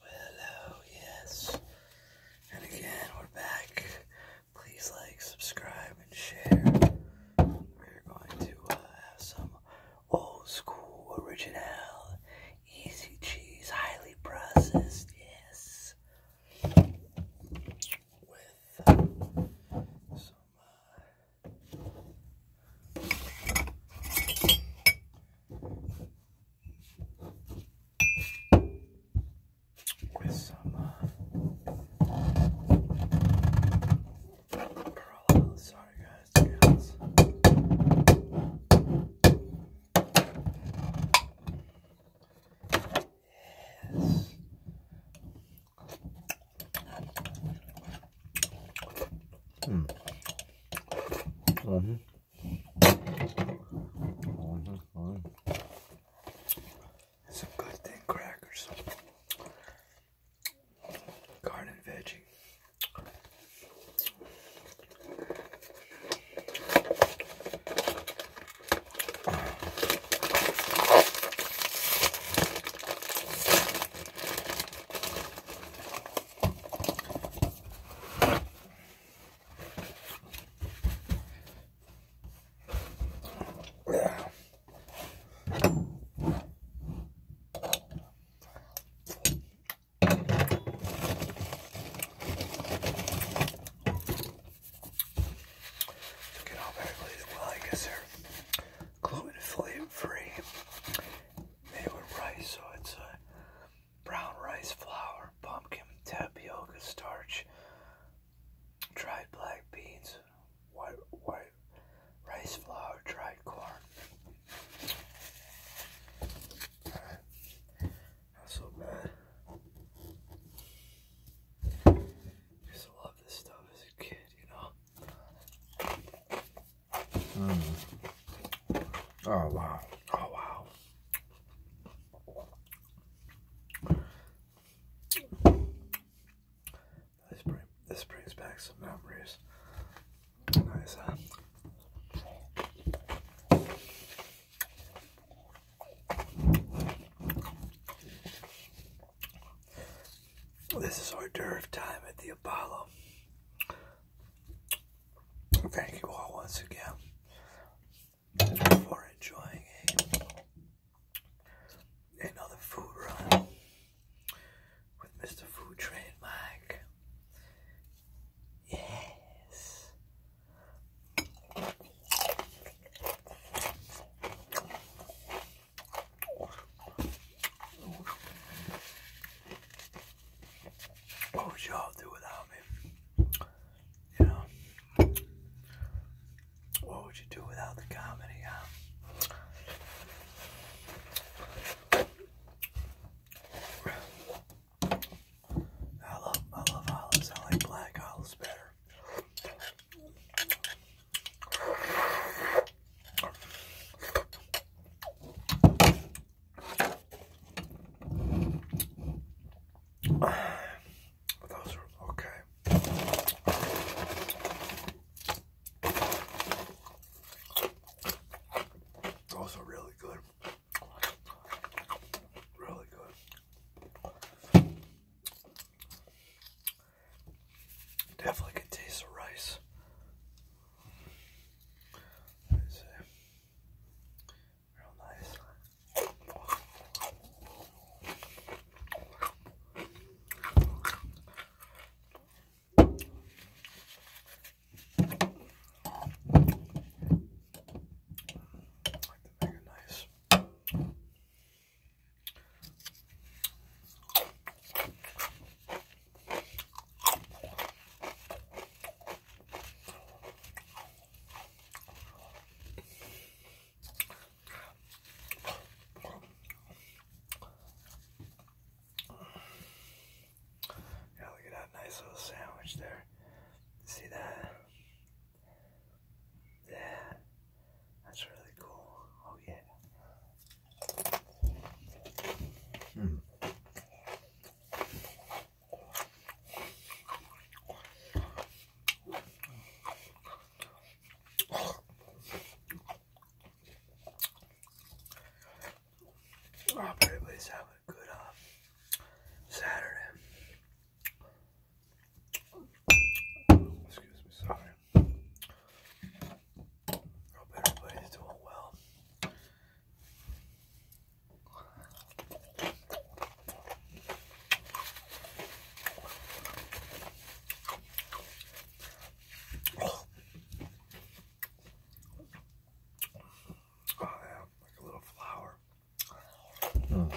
Hello, yes. And again, we're back. Please like, subscribe, and share. We're going to uh, have some old school, original, easy cheese, highly processed, yes. With uh, some. Uh, with some uh, Corolla. Sorry, guys. guys. Yes. Mm-hmm. Some good thing crackers. Garden veggie. Get all very well, I guess they're gluten free made with rice, so it's brown rice flour, pumpkin, tapioca starch, dried black beans, white, white rice flour, dried corn. Alright, not so bad. used to love this stuff as a kid, you know. Mm. Oh, wow. Oh, wow. This, bring, this brings back some memories. Nice, This is hors d'oeuvre time at the Apollo. Thank you all once again for enjoying another food run with Mr. Food Train Mike. Yes. What would y'all do without me? You know, what would you do without the comedy? I love, I love olives. I like black olives better. Those are okay. Those are really good. Really good. Definitely can taste the rice. Let's see. Real nice. I like the mega nice. Yeah, look at that nice little sandwich there. See that? Yeah, that's really cool. Oh yeah. Hmm. Oh, everybody's a good uh, Saturday. Excuse me, sorry. Hope everybody's doing well. Oh, like a little flower. Hmm.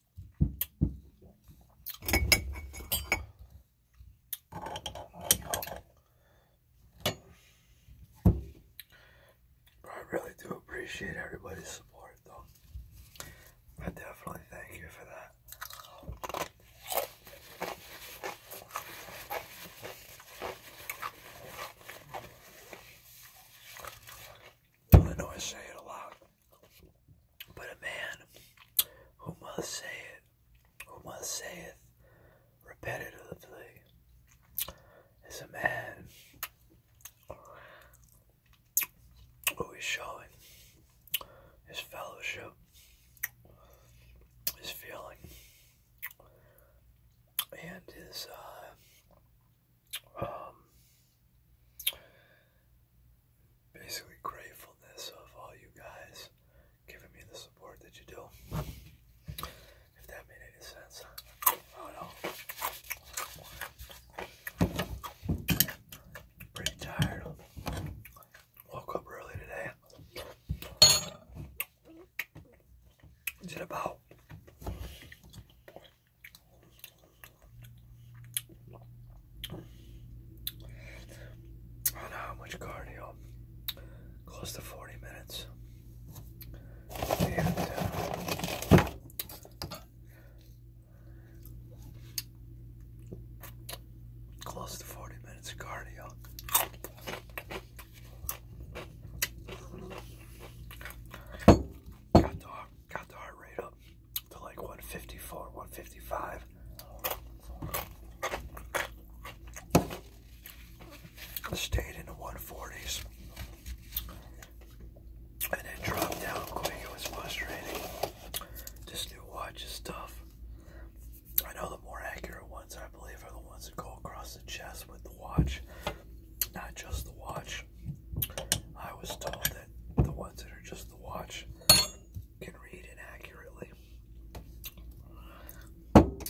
I really do appreciate everybody's support, though. I definitely thank you for that. I know I say it a lot, but a man who must say it, who must say it repetitively, is a man who is showing his fellowship, his feeling, and his uh, um, basically gratefulness of all you guys giving me the support that you do. If that made any sense, I do Pretty tired. Woke up early today. Did about I don't know how much cardio. Close to 40 minutes. Uh, close to 40 minutes of cardio. got the heart rate up to like 154, 155. Stayed in the 140s and then dropped down quick. It was frustrating. This new watch is tough. I know the more accurate ones, I believe, are the ones that go across the chest with the watch, not just the watch watch. I was told that the ones that are just the watch can read inaccurately.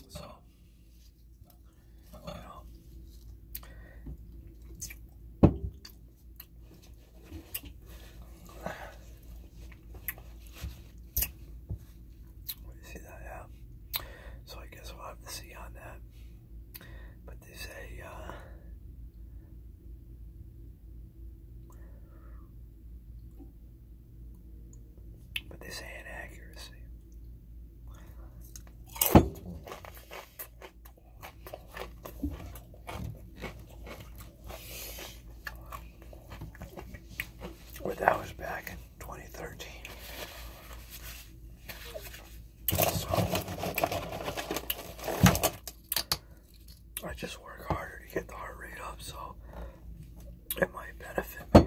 So, you know, see that, yeah. So I guess we'll have to see on that. But they say uh, but this ain't accuracy. Well, that was back in 2013. I just work harder to get the heart rate up, so it might benefit me,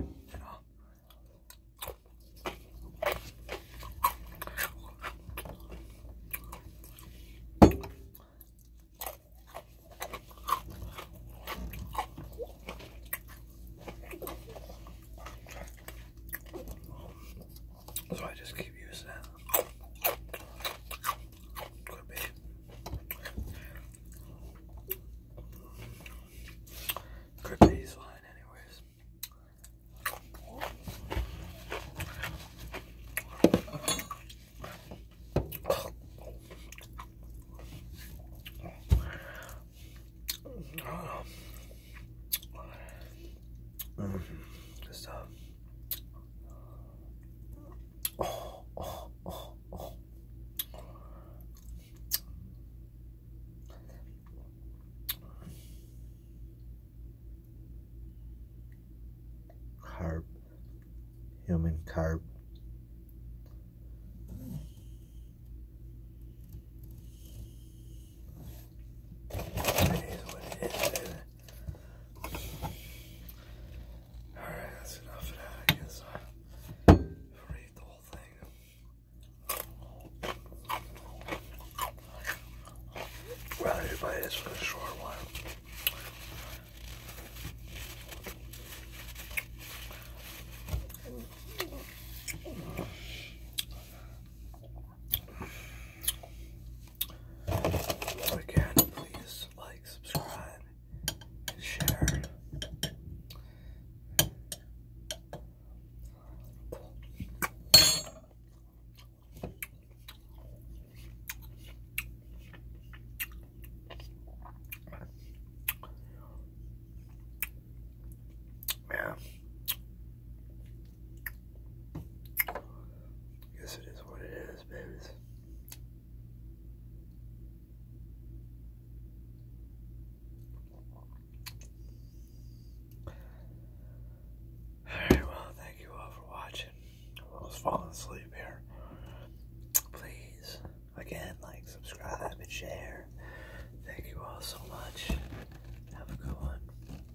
so I just keep using it. Could be. Could be his anyways. Just a stuff. Carb, human carb. Alright, that's enough of that. I guess I'll read the whole thing. Well, everybody, this was a short one again, please like, subscribe, and share. Yeah. Guess it is what it is, babies. Alright, well, thank you all for watching. I was falling asleep here. Please, again, like, subscribe, and share. Thank you all so much. Have a good one.